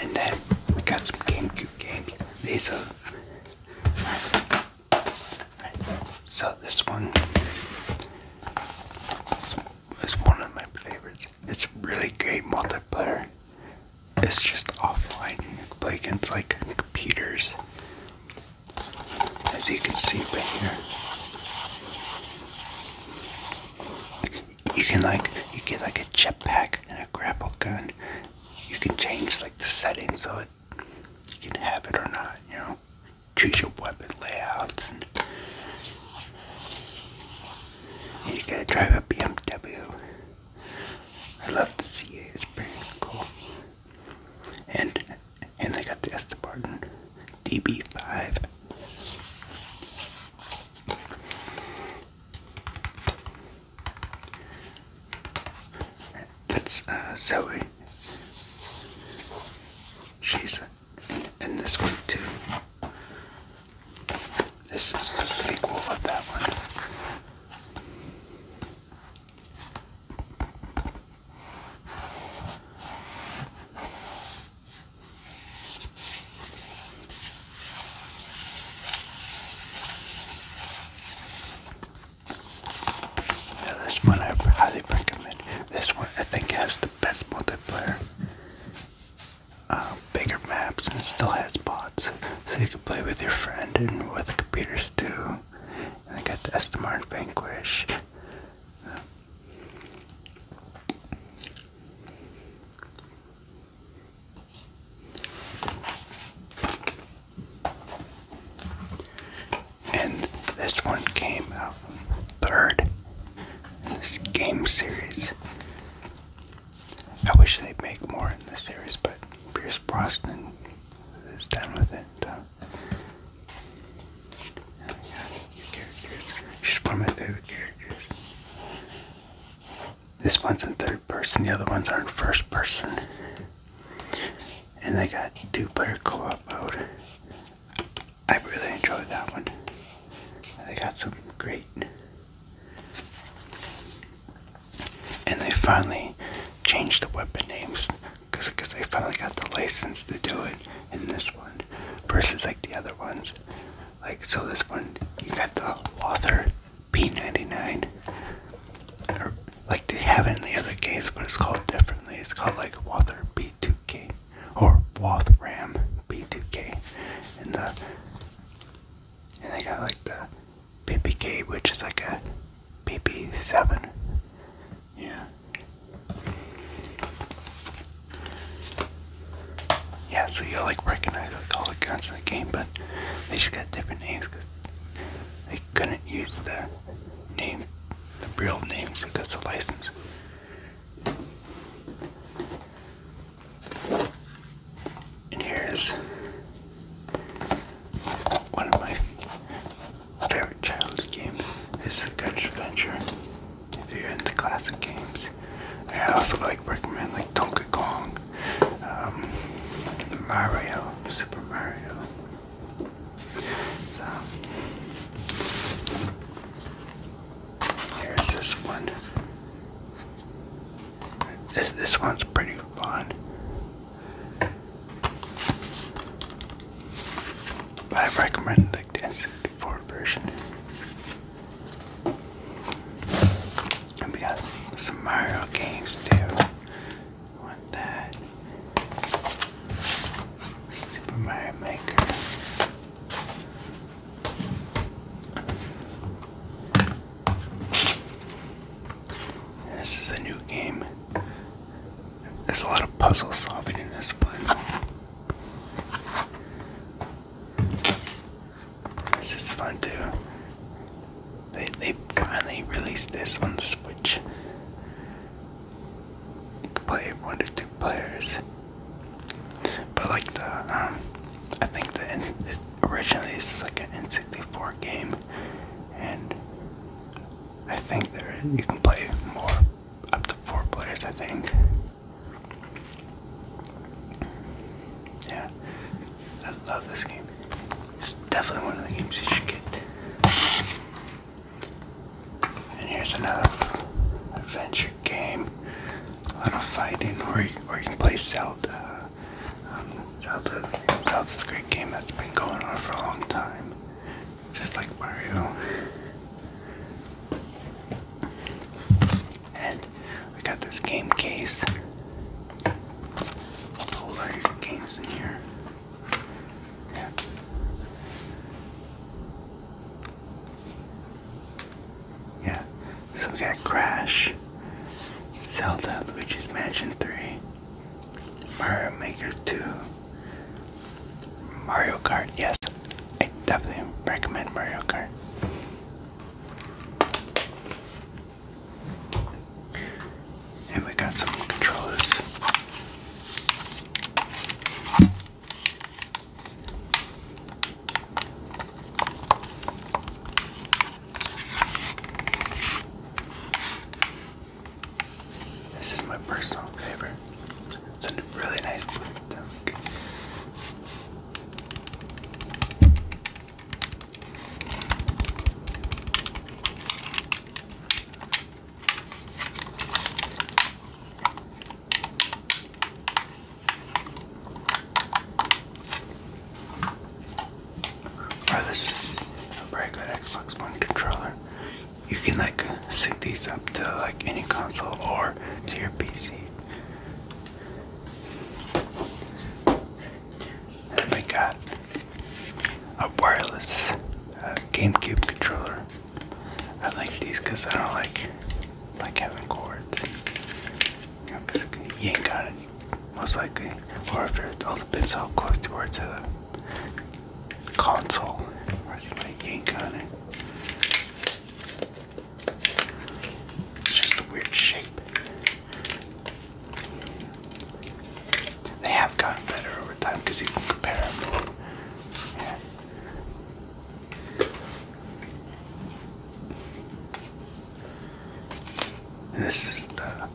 And then we got some GameCube games. These are. So this one is one of my favorites. It's really great multiplayer. It's just offline. You can play against like computers. As you can see right here. You can like you get like a jetpack and a grapple gun. You can change like the settings so it you can have it or not. You know, choose your weapon layouts. And, and you gotta drive a BMW. I love the CA. It's pretty cool. And and they got the Estebarton DB5. That's uh, Zoe. She's in this one too. This is the sequel of that one this one I highly recommend. This one I think has the best multiplayer. Uh, bigger maps and still has bots. So you can play with your friend and with computers too. And I got the Estamar Vanquish. Uh, and this one came out third in this game series. I wish they'd make more in this series, but Pierce Brosnan is done with it. This one's in third person, the other ones are in first person. And they got two player co op mode. I really enjoyed that one. They got some great. And they finally changed the weapon names because they finally got the license to do it in this one versus like the other ones. Like, so this one, you got the author P99, or like they have in the other games, but it's called differently. It's called like Wather B2K or Wathram B2K, and the and they got like the PPK, which is like a PP7. Yeah. Yeah, so you'll like recognize all the guns in the game, but they just got different names because they couldn't use the name, the real names because of license. And here's one of my favorite child's game is Good Adventure. If you're into classic games, I also like recommend like Donkey Kong, um, Mario, Super Mario. So here's this one. This this one's pretty fun. I recommend like the N64 version. And we got some Mario games too. want that? Super Mario Maker. This is a new game. There's a lot of puzzle solving in this one. This is fun too. They, they finally released this on the Switch. You can play one to two players. But like the, um, I think the, originally it's like an N64 game and I think there you can play more up to four players. I think. Yeah, I love this game. It's definitely one of the games you should get. And here's another adventure game, a lot fighting, where you, you can play Zelda, um, Zelda, a great game that's been going on for a long time, just like Mario. And we got this game case. A whole lot games in here. Yeah. Yeah. So we got Crash. Zelda Luigi's Mansion 3, Mario Maker 2, Mario Kart. Yes, I definitely recommend Mario Kart. And we got some controllers. This is my personal favorite. It's a really nice blue or this is a regular Xbox One controller, you can like sync these up to like any console or to your PC. Then we got a wireless uh, GameCube controller. I like these because I don't like like having cords. you ain't got it most likely, or if it all depends how close you are to the console. I think like yank on it. It's just a weird shape. They have gotten better over time because you can compare them. This is the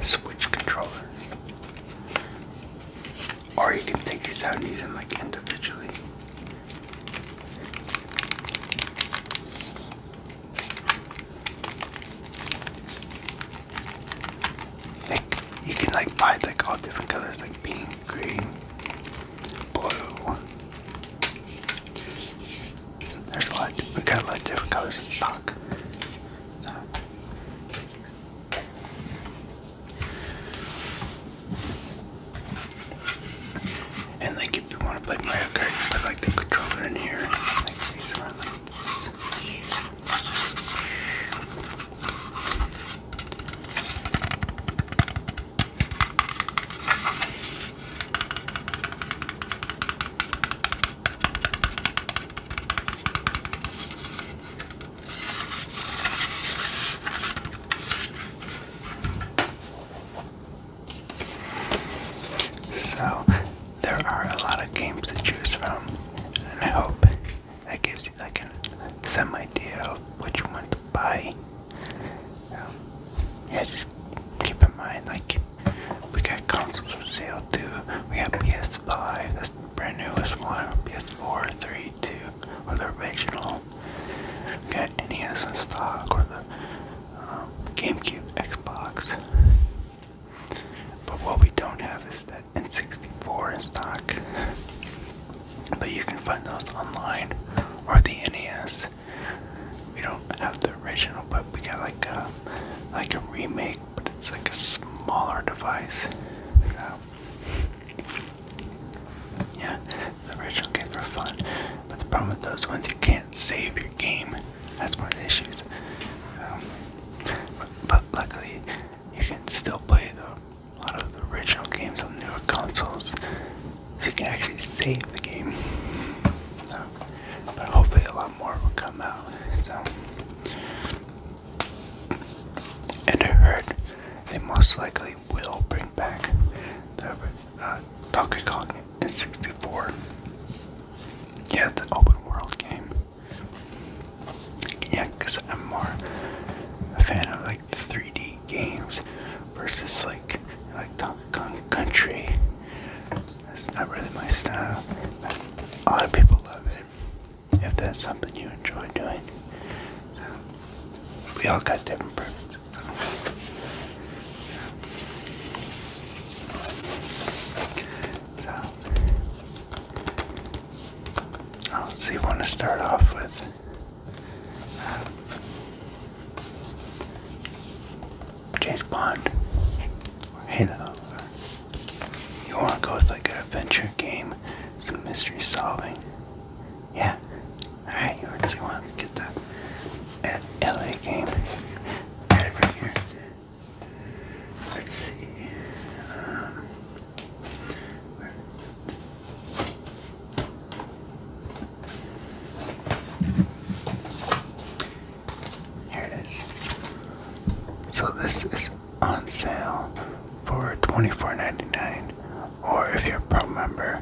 Switch controller. Or you can take these out and use them like individually. Like you can like buy like all different colors like pink, green, blue. There's a we got a lot of different colors in stock. And like, if you want to play Mario Kart, you put like the controller in here. So, there are a lot of games to choose from, and I hope that gives you like an, some idea of what you want to buy. Um, yeah, just keep in mind, like, we got consoles for sale too. We got PS5, that's the brand newest one, PS4, 3, 2, or the original. We got NES in stock, or the um, GameCube, Xbox. But what we don't have is that N64 in stock. But you can find those online or the NES. We don't have the original, but we got like a like a remake, but it's like a smaller device. Um, yeah, the original games are fun, but the problem with those ones, you can't save your game. That's one of the issues. Um, but, luckily, you can still play them a lot of original games on newer consoles, so you can actually save the game. but hopefully, a lot more will come out. And I heard they most likely will bring back the uh, Donkey Kong '64. Yeah, the open world game. Yeah, because I'm more a fan of like. 3D games versus like like Donkey Kong Country. That's not really my style. A lot of people love it. If that's something you enjoy doing, so, we all got different preferences. So, what so, you want to start off with James Bond, or Halo. You want to go with like an adventure game, some mystery solving. Yeah. Alright, you already want to get that at LA game. Right, here. Let's see. Um, here it is. So this is on sale for $24.99 or if you're a pro member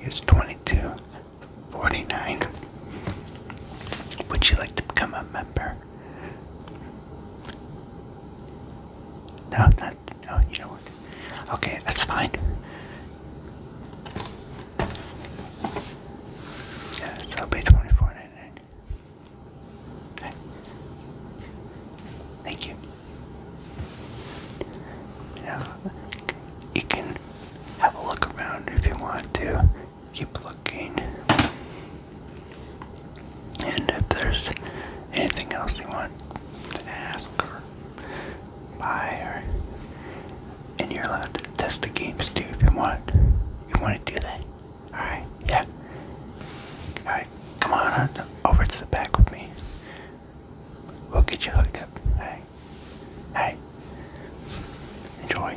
it's $22.49. Would you like to become a member? No, not. No, you know what? Okay, that's fine. Yeah, I'll pay twenty four ninety nine. Okay. Thank you. Now you can have a look around if you want to. Keep looking. And if there's anything else you want to ask her, buy, her, and you're allowed to test the games too if you want, you want to do that. Alright, yeah. Alright, come on over to the back with me. We'll get you hooked up. Hey. Hey. Enjoy.